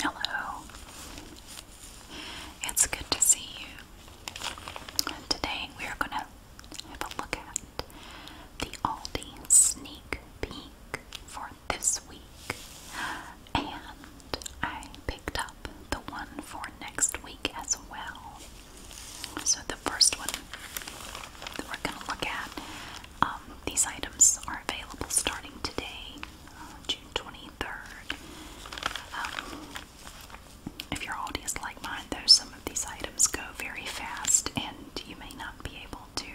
Hello. It's good to see you. today we are going to have a look at the Aldi sneak peek for this week. And I picked up the one for next week as well. So the first one we're going to look at. Um, these items are available starting today, uh, June 23rd. Um, if your audience like mine, though, some of these items go very fast and you may not be able to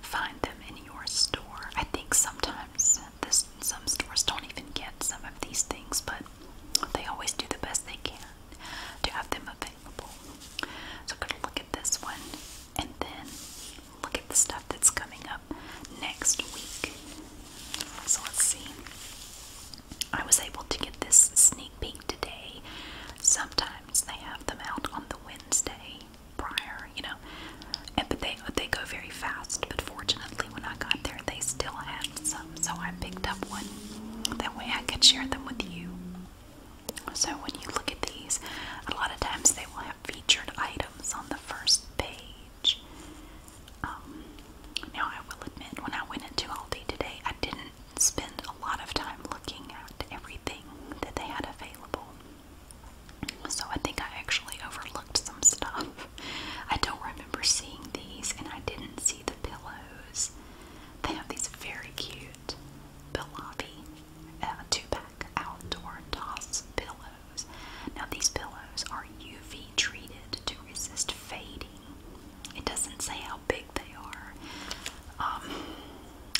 find them in your store. I think sometimes this, some stores don't even get some of these things, but they always do the best they can to have them available. So, I'm gonna look at this one and then look at the stuff that's coming up next week. So, let's see. I was able to get this sneak peek today. Sometimes they have them out on the Wednesday prior, you know, and but they they go very fast. But fortunately, when I got there, they still had some, so I picked up one. That way, I could share them with you. So when you look at these, a lot of times they will have featured items on the first page. Um, now I will admit, when I went into Aldi today, I didn't spend a lot of time looking at everything that they had available. So I think I actually overlooked some stuff. I don't remember seeing these, and I didn't see the pillows. They have these very cute Bilavi two-pack outdoor toss pillows. Now these pillows are UV treated to resist fading. It doesn't say how big they are. Um,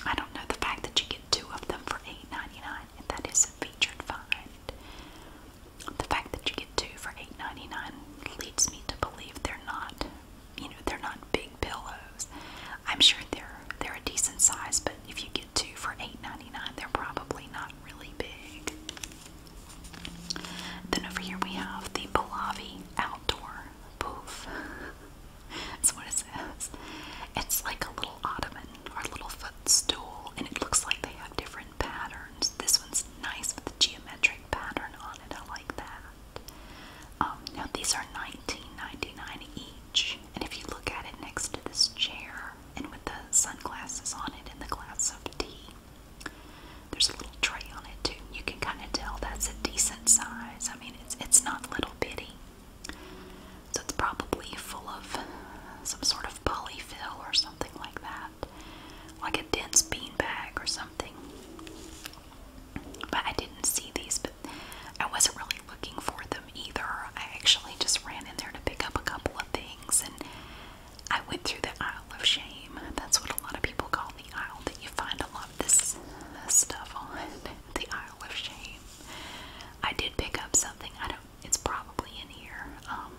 I don't know the fact that you get two of them for 8 dollars that is a featured find. The fact that you get two for 8 leads me to believe they're not you know, they're not big pillows. I'm sure they're they're a decent size, but if you get two for $8.99, they're probably not really big. Then over here we have the Pallavi Outdoor Poof. That's what it says. It's like a little ottoman or a little footstool, and it looks like they have different patterns. This one's nice with the geometric pattern on it. I like that. Um, now these are 19 each, and if you look at it next to this chair and with the sunglasses on it and the glass of tea, there's a little tray on it too. You can kind of tell that's a decent size. I mean, it's it's not little bitty, so it's probably full of some sort of polyfill or something like that, like a dense bean bag or something. But I didn't see these, but I wasn't really looking for them either. I actually just ran in there to pick up a couple of things and I went through the aisle of shame. That's what a lot of people call the aisle that you find a lot of this stuff on. The aisle of shame. I did pick up something. I don't it's probably in here. Um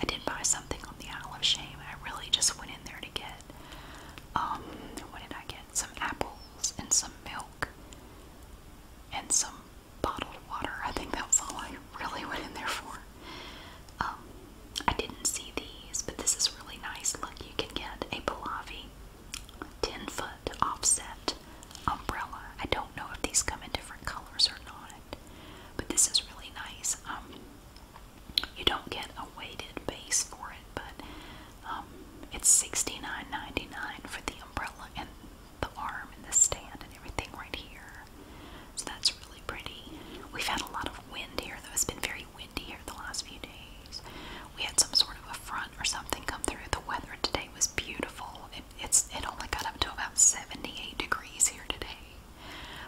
I did buy something on the aisle of shame. I really just went in there to get um what did I get? Some apple and some milk and some bottled water. I think that was all I really went in there for. Um, I didn't see these, but this is really nice. Look, you can get a Pahlavi 10 foot offset umbrella. I don't know if these come in different colors or not, but this is really nice. Um, you don't get a weighted base for it, but um, it's sixty nine ninety nine for the umbrella and the arm and the stand and everything right here. So that's really pretty. We've had a lot of wind here though. It's been very windy here the last few days. We had some sort of a front or something come through. The weather today was beautiful. it's it only got up to about 78 degrees here today.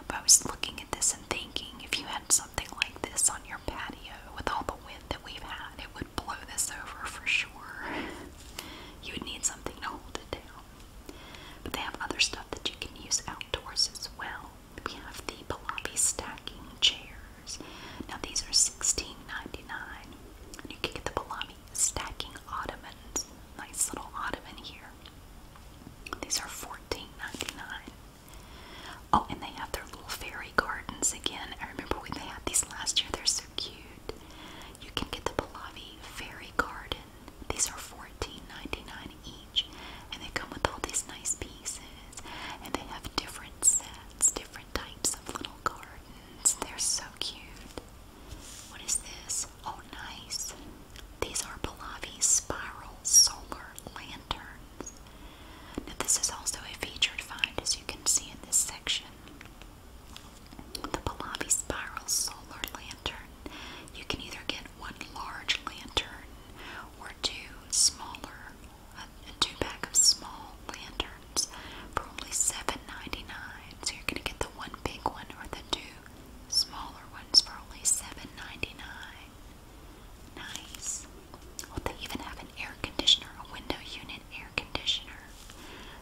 But I was looking at this and thinking if you had some something like this on your patio with all the wind that we've had, it would blow this over for sure. you would need something to hold it down. But they have other stuff that you can use outdoors as well. We have the Pilavi stacking chairs. Now these are $16.99. You can get the Pilavi stacking ottomans. Nice little ottoman here. These are $14.99. Oh, and they have their little fairy gardens again. I remember when they had these last year, they're so cute. You can get the Pahlavi Fairy Garden. These are $14.99 each, and they come with all these nice pieces. And they have different sets, different types of little gardens. They're so cute. What is this? Oh, nice. These are Pahlavi Spiral Solar Land now this is also a featured find as you can see in this section. The Pahlavi Spiral Solar Lantern. You can either get one large lantern or two smaller, uh, a, two pack of small lanterns for only 7 So you're going to get the one big one or the two smaller ones for only 7 Nice. they even have an air conditioner, a window unit air conditioner.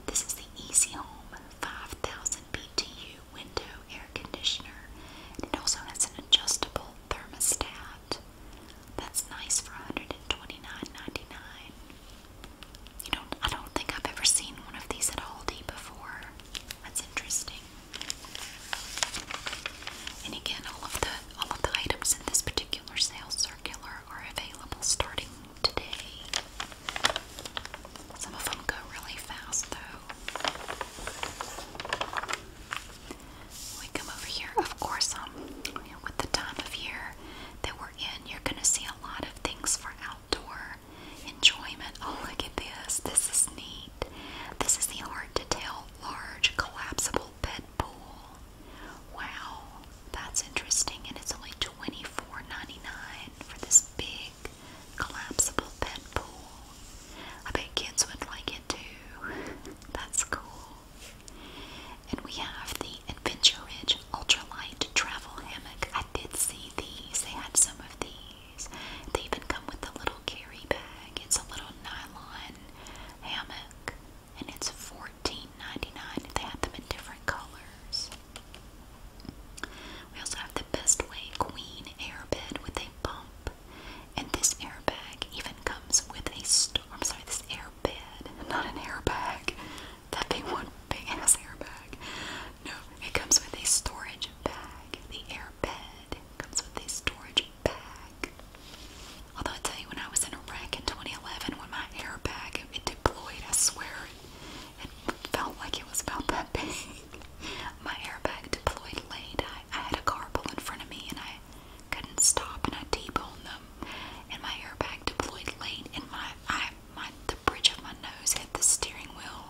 This is the Easy Home 5000 BTU window air conditioner. It also has an adjustable thermostat. That's nice for 129 You don't I don't think I've ever seen one of these at Aldi before. That's interesting. And again, all of the all of the items in this particular sales circular are available starting today. Some of them go really fast though. We come over here, of course, um, you with the time of year that we're in, you're going to see a lot of things for outdoor enjoyment. Oh, look at this. This is neat. This is the hard to tell large collapsible bed pool. Wow, that's interesting. And it's only $24.99 for this big collapsible pet pool. I bet kids would like it too. That's cool. And we have the Adventure Ridge Ultralight Travel Hammock. I did see these. They had some of these. They even come with a little carry bag. It's a little nylon hammock and it's $14.99. They have them in different colors. We also have the Best Way Queen airbed with a bump, and this airbag even comes with a star. I'm sorry, this airbed, not an airbag. That big one, big ass airbag. No, it comes with a storage bag. The airbed comes with a storage Although I tell you, when I was in Iraq in 2011, when my airbag deployed, I swear it, felt like it was about that big. my airbag deployed late. I, had a carpool in front of me, and I couldn't stop, and I t-boned them. And my airbag deployed late, and my I my the bridge of my nose hit the steering wheel.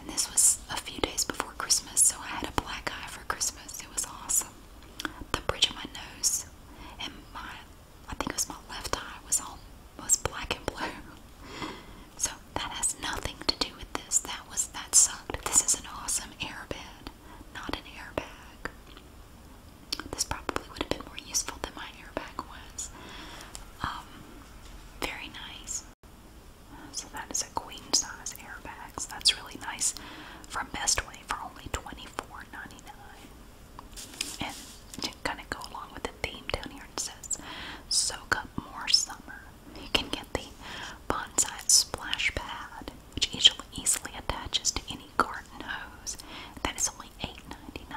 And this was a few days before Christmas, so I had a black eye for Christmas. It was awesome the bridge of my nose and my I think it was my left eye was all was black and blue. So that has nothing to do with this. That was that sucked. This is an awesome airbed, not an airbag. This probably would have been more useful than my airbag was. Um, very nice. So that is a queen size airbag. So that's really nice. From Best Way, for only 24 And to kind of go along with the theme down here, it says soak up more summer. You can get the bonsai splash pad, which easily, attaches to any garden hose. That is only $8.99.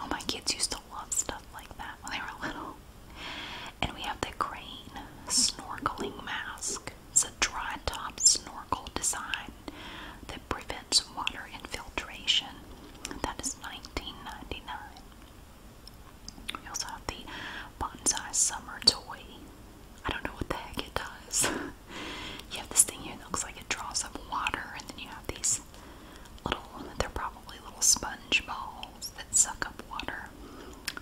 Oh, my kids used to love stuff like that when they were little. And we have the crane snorkeling mask. It's a dry top snorkel design that prevents water infiltration. thats nineteen ninety nine. We also have the Bonsai Summer Toy. I don't know what the heck it does. you have this thing here that looks like it draws up water, and then you have these little, they're probably little sponge balls that suck up water,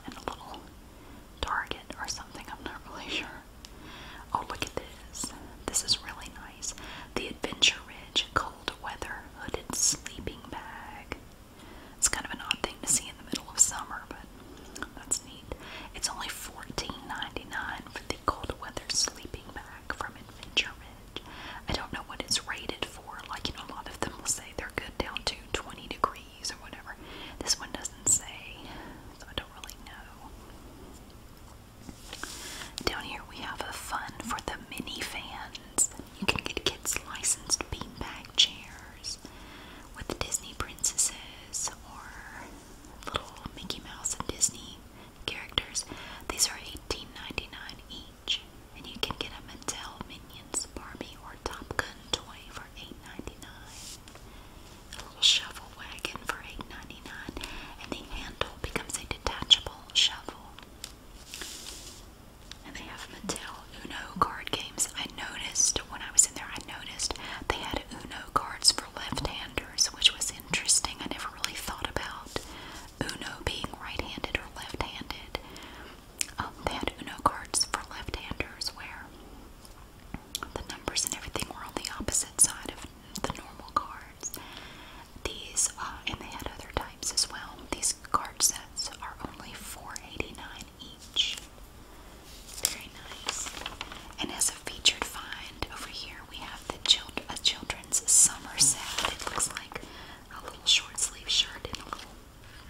and a little target or something, I'm not really sure. Oh, look at this. This is really nice. The Adventure Ridge Cold Weather Hooded Sleeping Bag. It's kind of an odd thing to see in the middle of summer, but that's neat. It's only $14.99 for the Cold Weather Sleeping Bag from Adventure Ridge. I don't know what it's rated for. Like, you know, a lot of them will say they're good down to 20 degrees or whatever. This one doesn't say, so I don't really know. Down here we have a fun for the mini fans. You can get kids licensed beanbag chairs with Disney princesses or little Mickey Mouse and Disney characters. These are $18.99 each, and you can get a Mattel Minions Barbie or Top Gun toy for $8.99 a little shovel wagon for 8 and the handle becomes a detachable shovel. And they have Mattel Uno card games. I noticed when I was in there, I noticed they had Uno cards for left-handers, which was interesting. I never really thought about Uno being right-handed or left-handed. Um, they had Uno cards for left-handers where the numbers and everything were on the opposite side of the normal cards. These, uh, and they had other types as well. These card sets are only $4.89 each. Very nice. And as a featured find over here, we have the child a children's summer set. It looks like a little short sleeve shirt and a little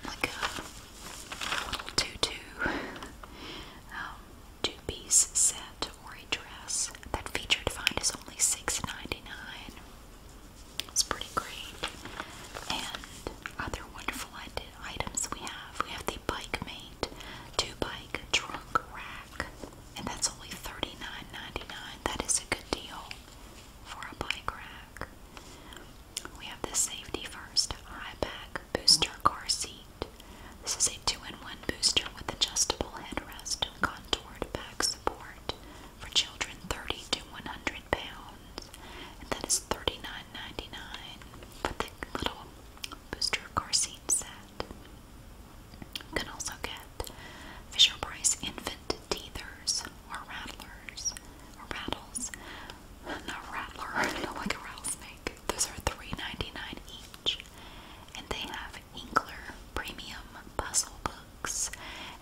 like a, tutu. Um, two-piece set or a dress. That feature defined is only six ninety nine. dollars It's pretty great. And other wonderful items we have. We have the Bike Mate two-bike trunk rack, and that's only thirty nine ninety is a good deal for a bike rack. We have the Safety First Eye Pack Booster Car Seat. This is a two-in-one booster with adjustable headrest and contoured back support for children 30 to 100 pounds, and that for the little booster car seat set. You can also get Fisher-Price infant teethers or rattlers or rattles, not rattler, not like a rattlesnake. Those are $3.99 each. And they have Inkler Premium Puzzle Books.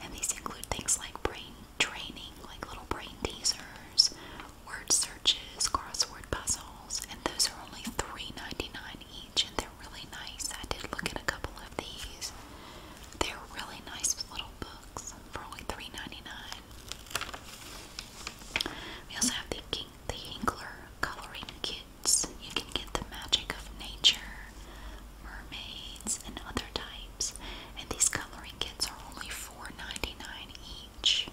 And these include things like brain training, like little brain teasers, word searches, crossword puzzles. And those are only $3.99 each. And they're really nice. I did look at a couple of these. They're really nice little books for only $3.99. We also have the King, Hinkler coloring kits. You can get the magic of nature, mermaids, and other types. And these coloring kits are only $4.99 each.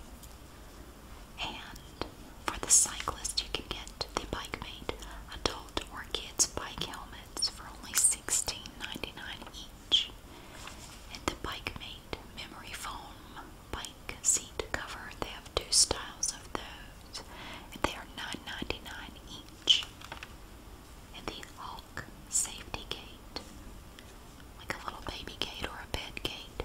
And for the cyclist, you can get the Bike Mate adult or kids bike helmets for only $16.99 each. And the Bike Mate memory foam bike seat cover. They have two styles of those, and they are $9.99 each. And the Hawk safety gate, like a little baby gate or a bed gate,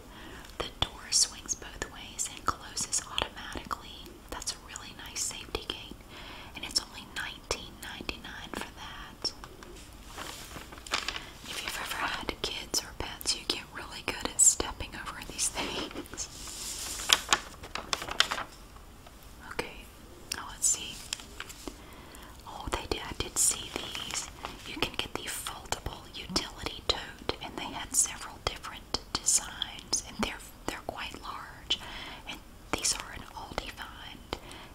the door swings both ways and closes automatically. That's a really nice safety gate, and it's only $19.99 for that. If you've ever had kids or pets, you get really good at stepping over these things. Okay, now let's see. Oh, they did. I did see these. You can get the foldable utility tote, and they had several different designs, and they're they're quite large. And these are an Aldi find.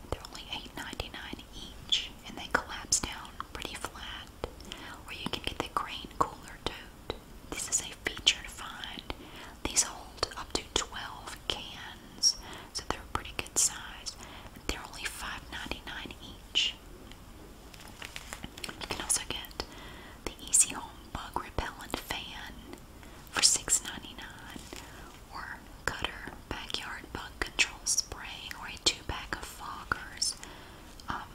They're only $8.99 each, and they collapse down pretty flat that. you can get the green cooler tote. This is a feature to find. These hold up to 12 cans, so they're pretty good size. They're only $5.99 each. You can also get the Easy Home Bug Repellent Fan for 6 or Cutter backyard bug control spray or a two pack of foggers. Um,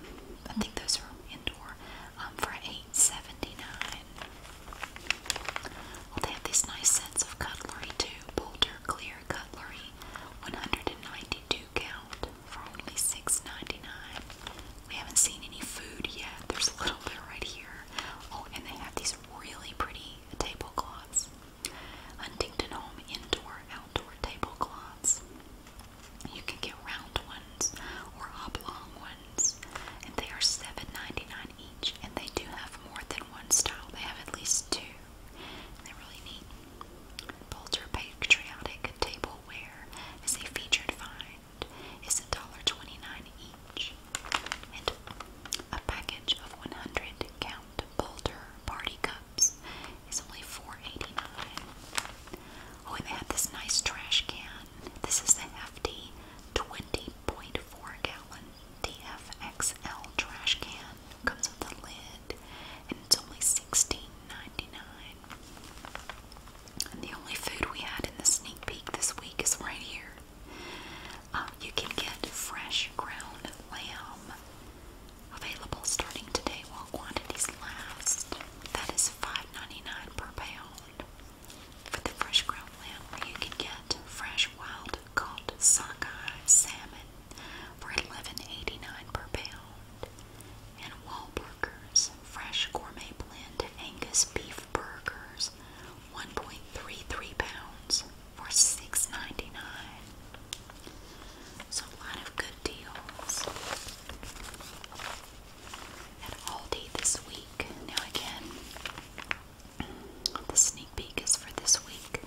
I think those are indoor um, for eight seventy-nine. they have these nice sets of cutlery too. Boulder Clear Cutlery, 192 count for only six ninety-nine. We haven't seen any food yet. There's a little bit right here. Oh, and they have these really pretty tablecloths. Huntington Home indoor outdoor tablecloths. You can get round ones or oblong ones, and they are $7.99 each. And they do have more than one style; they have at least two. They're really neat. Boulder Patriotic Tableware is a featured find. It's $1.29 each. And a package of 100 count Boulder Party Cups it's only $4.89. Oh, and they have this nice trash can. This is the hefty 20.4 gallon DFXL trash can. comes with a lid, and it's only $16.99. And the only food we had in the sneak peek this week is right here. Um, you can get fresh ground lamb Available starting today while quantities last. That is $5.99 per pound. For the fresh grown lamb, you can get fresh wild caught sockeye salmon for $11.89 per pound. And Wahlburgers Fresh Gourmet Blend Angus Beef Burgers, 1.33 pounds for $6.99. So a lot of good deals at Aldi this week. Now again, the sneak peek is for this week.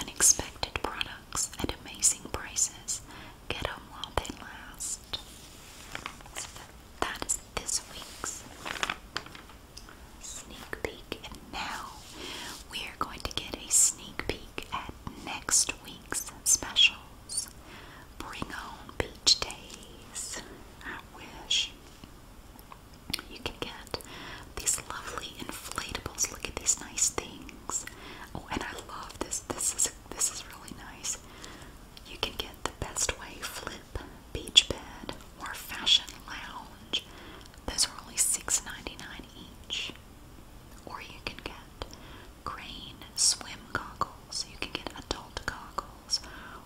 Unexpected products at amazing prices. Get them while they last. that is this week's sneak peek, now, we're going to get a sneak peek at next week's specials. Bring on beach days. I wish you can get these lovely inflatables. Look at these nice things. Oh, and I love this. This is this is really nice. You can get the best way flip beach bed or fashion lounge. Those are only $6.99 each. Or you can get crane swim goggles. You can get adult goggles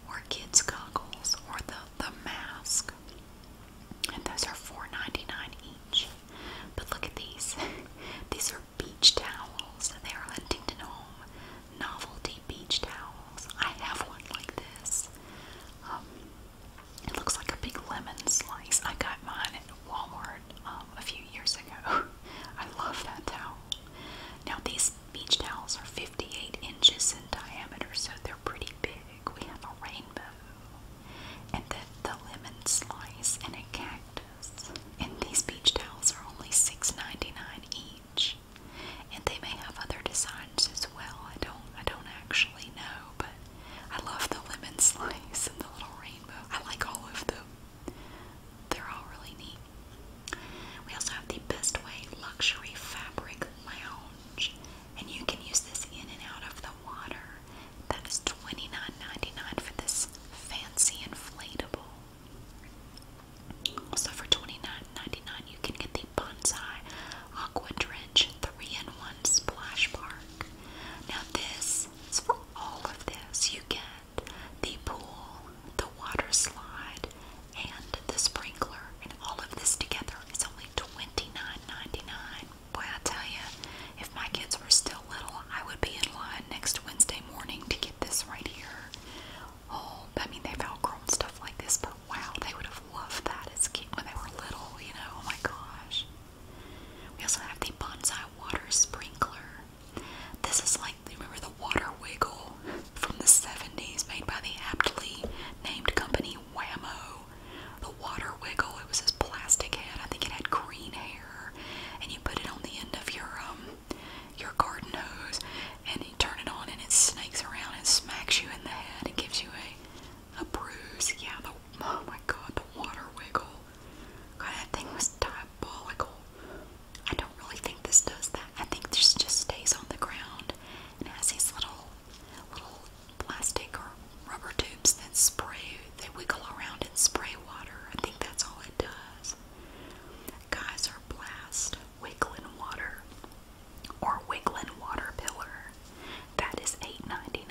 or kids goggles or the, the mask. And those are $4.99 each. But look at these. these are beach towels. They are Huntington Home novelty beach towels. I have one like this. Um, it looks like a big lemon slice. I got mine at Walmart um, a few years ago. I love that towel. Now these beach towels are 58 inches in diameter, so they're pretty big. We have a rainbow, and then the lemon slice, and a cactus. And these beach towels are only $6.99 each. And they may have other designs as well. I don't I don't actually know, but I love the lemon slice and the little rainbow. I like all of them. They're all really neat. We also have the Best Luxury Fabric Lounge. And you can use this in and out of the water. That for this fancy inflatable. Also for 29 you can get the Bonsai Aqua Drench 3-in-1 on Splash Park. Now, this is for all of this. You get the pool, the water slide, and the sprinkler. And all of this together is only $29.99. Boy, I tell you, if my kids were still little, I would be in line next Wednesday morning to get this right here. Oh, I mean, they've outgrown stuff like this, but wow, they would have loved that as kids when they were little, you know? Oh my gosh. We also have the Bonsai Water Sprinkler. This is like, remember the water wiggle from the 70s made by the aptly named company Whammo? The water wiggle, it was this plastic head, I think it had green hair, and you put it on the end of your, um, your garden hose, and you turn it on and it snakes around and smacks you in the head and gives you a a bruise, yeah. The, oh my god, the water wiggle. God, that thing was diabolical. I don't really think this does that. I think this just stays on the ground and has these little, little plastic or rubber tubes that spray. They wiggle around and spray water. I think that's all it does. Geyser blast, wiggling water, or wiggling water pillar. That is $8.99.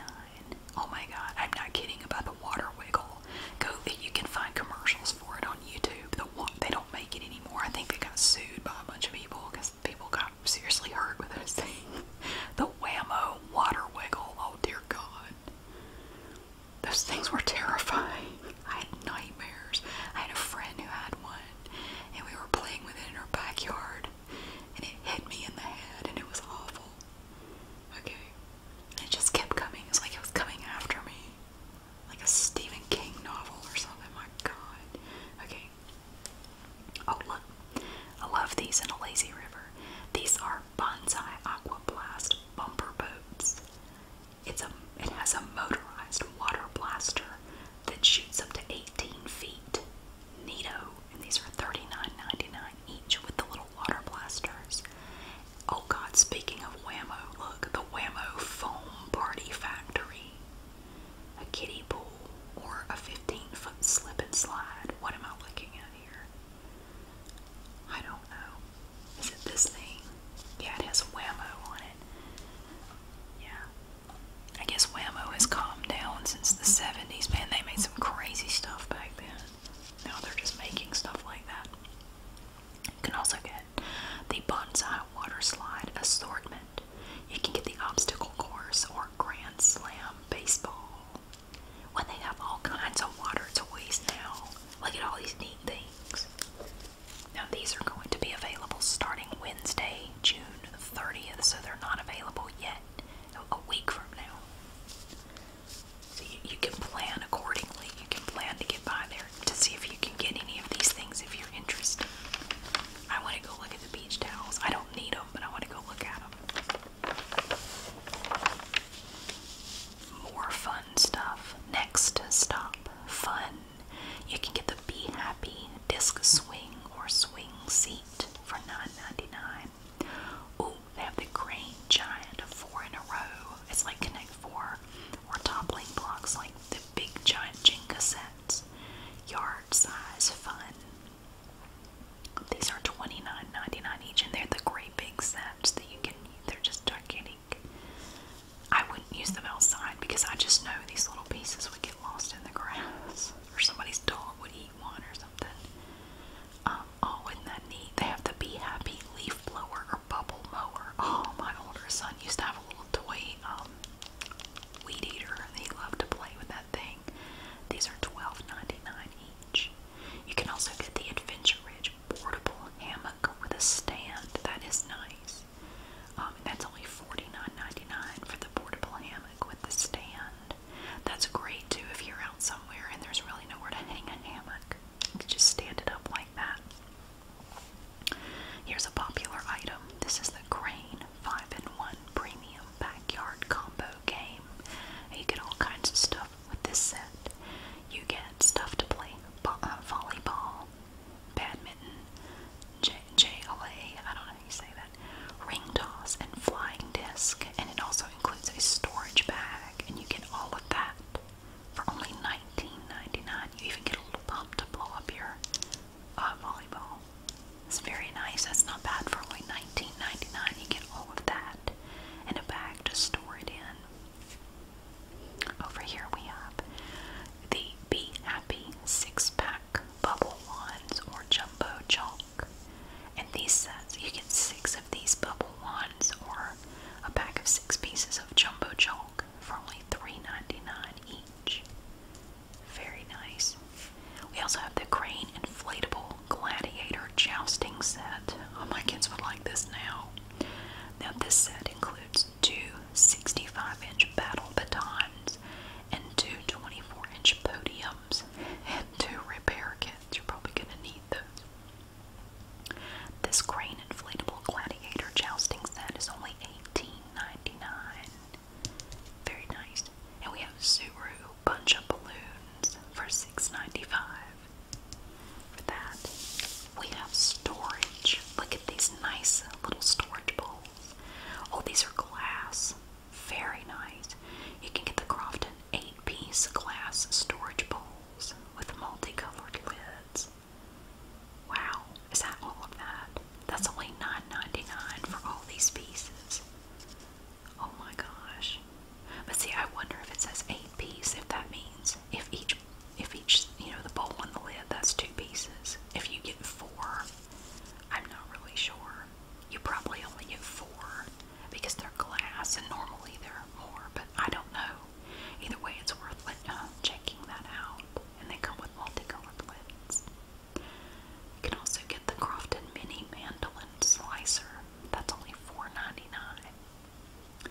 Oh my god, I'm not kidding about the water wiggle. Go that you can find commercials for it on YouTube. The they don't make it anymore. I think they got sued by a bunch of people because people got seriously hurt with those things. The Wham-O water wiggle. Oh dear god. Those things were terrifying. I had nightmares. I had a friend who had one, and we were playing with it in her backyard, and it hit me in the head, and it was awful. Okay. it just kept coming. It's like it was coming after me. Like a Stephen King novel or something. My god. Okay. Oh, look. I love these in a lazy river. These are Bonsai Aquablast bumper boats. It's a, it has a motorized water blaster that shoots up to 18 feet Neato, and these are 39 each with the little water blasters. Oh God, speaking of Whammo, look, the Whammo Foam Party Factory. A kiddie pool or a 15 foot slip and slide. What am I looking at here? I don't know. Is it this thing? Yeah, it has Whammo on it. Yeah. I guess Whammo has calmed down since the 70s. Man, they made some crazy stuff back now they're just making stuff like that. You can also get the Bonsai Water Slide Assortment. You can get the Obstacle Course or Grand Slam Baseball. When they have all kinds of water toys now. Look at all these neat things. Now, these are going to be available starting Wednesday, June 30th, so they're not available yet a week from now. So you, can plan accordingly. You can plan to get by there to see if you can get any of these things if you're interested. I want to go look at the beach towels. I don't need them, but I want to go look at them. More fun stuff. Next stop, fun. You can get the Be Happy disc swing or swing seat for $9.99. Ooh, they have the Great Giant of four in a row. It's like Connect Four or toppling blocks like the big giant Jenga sets. Yard size fun. These are twenty nine ninety nine each and they're the great big sets that you can they're just gigantic. I wouldn't use them outside because I just know these little pieces would get lost in the grass. Or somebody's dog would eat one or something. Um, oh, isn't that neat? They have the Be Happy leaf blower or bubble mower. Oh, my older son used to have a little toy um, weed eater, and he loved to play with that thing. These are $12.99 each. You can also get the Adventure Ridge portable hammock with a stand. That is nice. Um, and that's only $49.99 for the portable hammock with the stand. That's great too if you're out somewhere and there's really nowhere to hang a hammock. You can just stand it up like that. Here's a popular item. This is the Crane 5 in 1 Premium Backyard Combo Game. You get all kinds of stuff with this set. You get stuff to play uh, volleyball, badminton, J JLA, I don't know how you say that, ring toss, and flying disc, and it also includes a storage bag, and you get all of that for only nineteen ninety nine. You even get a little pump to blow up your uh, volleyball. It's very nice. That's not bad for only nineteen ninety nine. You get all of that and a bag to store it in. Over here we have the Be Happy six pack bubble wands or jumbo chalk bulk. And these sets, you get six of these bubble ones or a pack of six pieces of jumbo chalk for only $3.99 each. Very nice. We also have the crane inflatable gladiator jousting set. Oh, my kids would like this now. Now, this set includes two 65 inch battle batons and two 24 inch podiums and two repair kits you're probably going to need those. This crane inflatable gladiator jousting set is only $18.99. Very nice. And we have a Zuru bunch of balloons for $6.95. For that, we have storage. Look at these nice little storage bowls. All oh, these are glass very nice. You can get the Crofton 8 piece glass storage bowls with multicolored lids. Wow, is that all of that? That's only $9.99 for all these pieces. Oh my gosh. But see, I wonder if it says 8 piece, if that means if each, if each, you know, the bowl and the lid, that's two pieces. If you get four, I'm not really sure you probably only get four because they're glass and normally there are more, but I don't know. Either way, it's worth uh, checking that out, and they come with multicolored lids. You can also get the Crofton Mini Mandolin Slicer. That's only $4.99.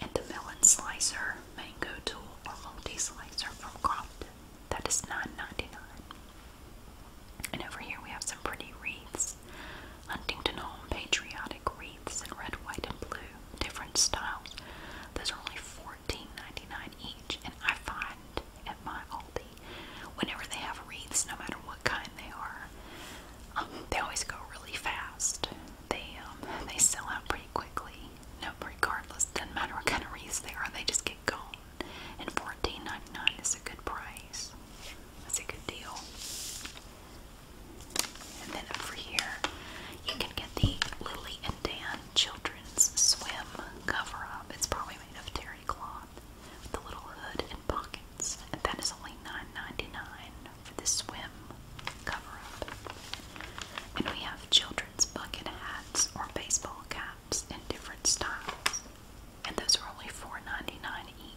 And the Melon Slicer, Mango Tool, or Multi Slicer from Crofton. That is $9.99. And over here we have some pretty wreaths. Huntington Home Patriotic Wreaths in red, white, and blue. Different styles. Those are only $14.99 each. And I find at my Aldi, whenever they have wreaths, no matter what kind they are, um, they always go really fast. They um, they sell out pretty quickly. No, regardless, doesn't matter what kind of wreaths they are, they just get gone and $14.99 is a good price. That's a good deal. And then over here, you can get the Lily and Dan Children's Swim cover up. It's probably made of terry cloth with a little hood and pockets. that is only 9 for the swim cover up. And we have children's bucket hats or baseball caps in different styles, and those are only $4.99 each.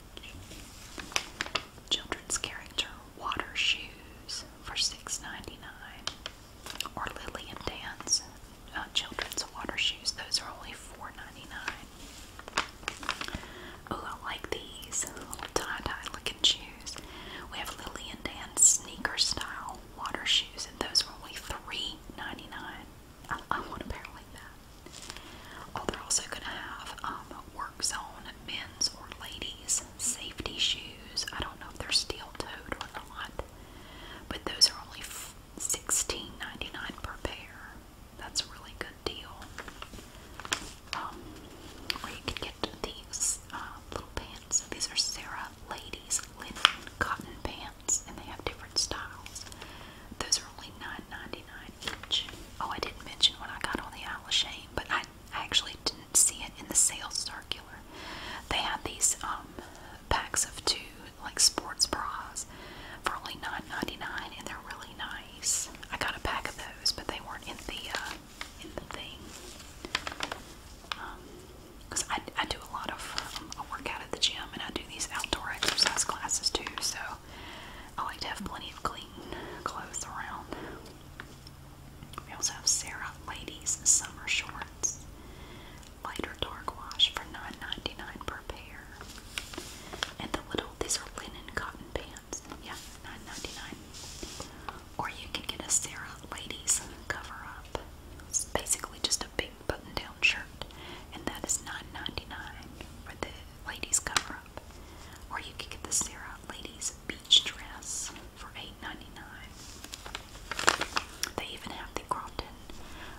Children's character water shoes for $6.99, or Lily and Dan's uh, children's water shoes. Those are only $4.99. Oh, I like these little tie-dye looking shoes. We have Lily and Dan's sneaker style water shoes, and those were only $3.99. I, I want a pair like that. Oh, they're also going to have um, work zone men's or ladies' safety shoes. I don't know if they're steel toed or not, but those are only $16.99 per pair. That's a really good deal. Um, or you can get these uh, little pants. These are Sarah Ladies Linen Cotton Pants pants, and they have different styles. Those are only $9.99 each. Oh, I didn't mention what I got on the Isle of Shame, but I, I actually didn't see it in the sales circular. They had these um, packs of two, like sports bras, for only $9.99, and they're really nice. I got a pack of those, but they weren't in the uh, in the thing. Um, because I, I do a lot of um, I work out at the gym and I do these outdoor exercise classes too, so I like to have plenty of clean clothes around. We also have Sarah Ladies Summer Shorts. Lighter dark wash for $9.99 per pair. And the little, these are linen cotton pants. Yeah, $9.99. Or you can get a Sarah Ladies cover up. It's basically just a big button-down shirt, and that for the ladies' cover-up. Or you can get the Sarah Ladies Beach Dress for $8.99. They even have the Crompton.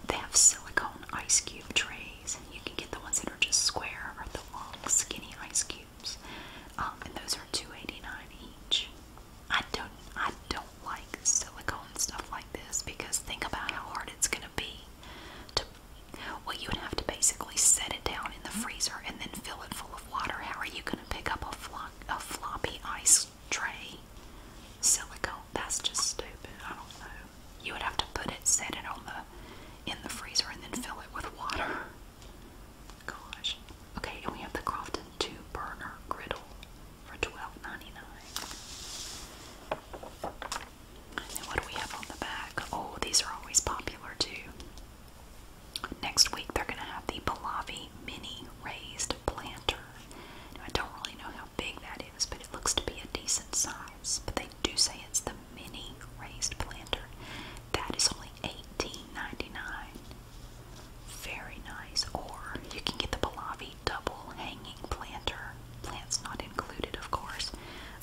They have silicone ice cube trays. and You can get the ones that are just square or the long, skinny ice cubes. Um, and those are $2.89 each. I don't I don't like silicone stuff like this because think about how hard it's gonna to well you would have to basically set it down in the freezer and then fill it full of water how are you gonna pick up a, flo a floppy ice tray silicone that's just stupid i don't know you would have to put it set it on the in the freezer and then fill it with water gosh okay and we have the crofton two burner griddle for twelve ninety nine. And what do we have on the back? Oh, these are always popular too. Next week they're going to have the Pallavi Mini Raised Planter. I don't really know how big that is, but it looks to be a decent size. But they do say it's the Mini Raised Planter. That is only $18.99. Very nice. Or you can get the Pallavi double hanging planter, plants not included, of course,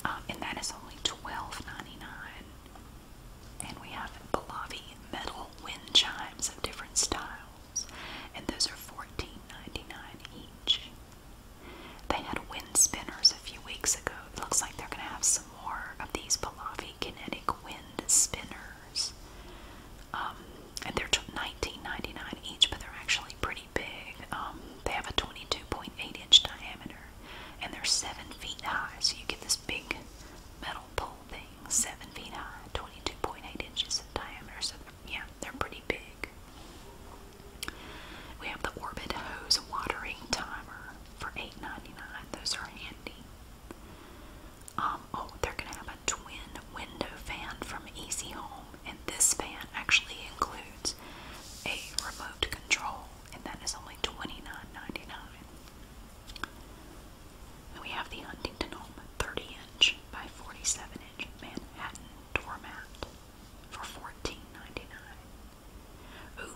um, and that is only $12.99. And we have Pallavi metal wind chimes of different styles, and those are $14.99 each. They had wind spinners a few weeks ago. It looks like they're going to have some more of these Pallavi kinetic wind spinners. Um, and they're $19.99 each, but they're actually pretty big. Um, they have a 22.8 inch diameter and they're 7 feet high. So you get this big metal pole thing, 7 feet high, 22.8 inches in diameter. So yeah, they're pretty big. We have the Orbit Hose Watering Timer for 8.99. Those are handy. Um, oh, they're going to have a twin window fan from Easy Home and this fan actually includes a remote control, and that is only $29.99. we have the Huntington Home 30 inch by 47 inch Manhattan doormat for 14 dollars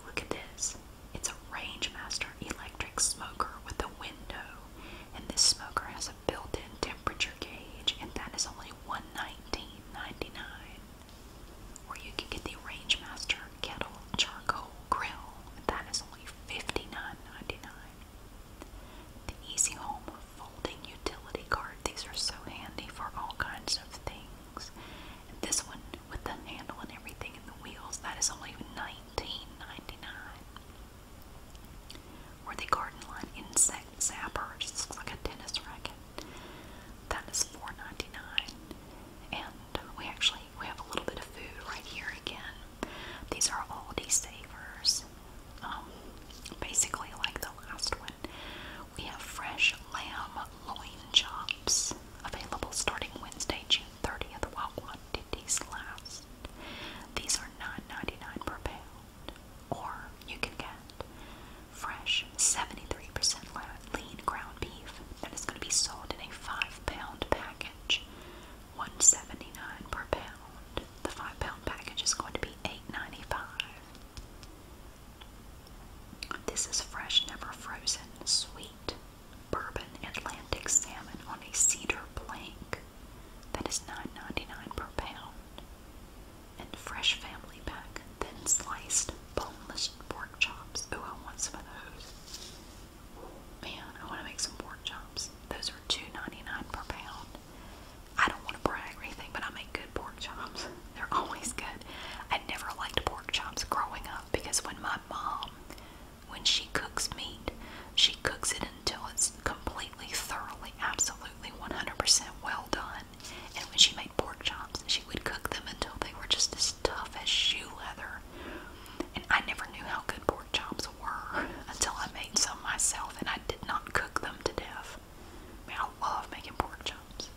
look at this. It's a Rangemaster electric smoker with a window, and this smoker has a built in temperature gauge, and that is only only $119.99. Or you can get the Rangemaster Kettle Charcoal Grill, and that is only $59.99. The Easy Home Folding Utility Card, these are so handy for all kinds of things. And this one with the handle and everything and the wheels, that is only $19.99 or the Garden Line Insect Zapper. It just looks like a tennis racket. That is $4.99. And we actually we have a little bit of food right here again. These are Aldi Savers. Um, basically like the last one. We have fresh lamb loin chops available starting Wednesday, June 30th, while quantities last. These are $9.99 per pound or you can get fresh 73% lean ground beef that is going to be sold in a 5 pound package. 179 per pound. The 5 pound package is going to be 8.95. This is fresh never frozen sweet bourbon Atlantic salmon on a cedar plank. thats 9.99 per pound and fresh family pack, thin sliced boneless pork chops. Oh, I want some of those. Man, I want to make some pork chops. Those are $2.99 per pound. I don't want to brag or anything, but I make good pork chops. They're always good. I never liked pork chops growing up because when my mom, when she cooks meat, she cooks it until it's completely, thoroughly, absolutely 100% well done and when she made pork chops, she would cook them until they were just as tough as shoe leather. And I never knew how good pork chops were until I made some myself, and I did not cook them to death. I love making pork chops.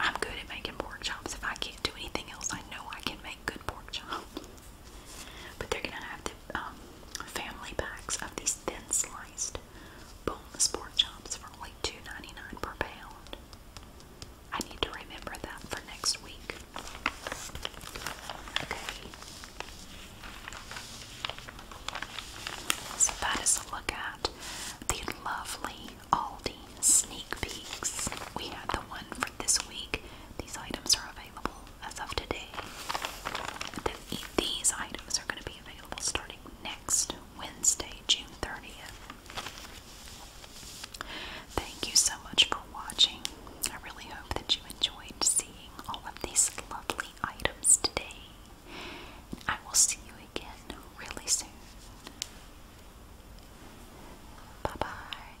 I'm good at making pork chops. If I can't do anything else, I know I can make good pork chops. But they're gonna have the um, family packs of these thin sliced Boom Sport Jumps for only 2 per pound. I need to remember that for next week. Okay. So that is a look at the lovely Aldi sneak peeks. We had the one for this week. These items are available as of today. These items are going to be starting next Wednesday, June 30th. Thank you so much for watching. I really hope that you enjoyed seeing all of these lovely items today. And I will see you again really soon. Bye bye.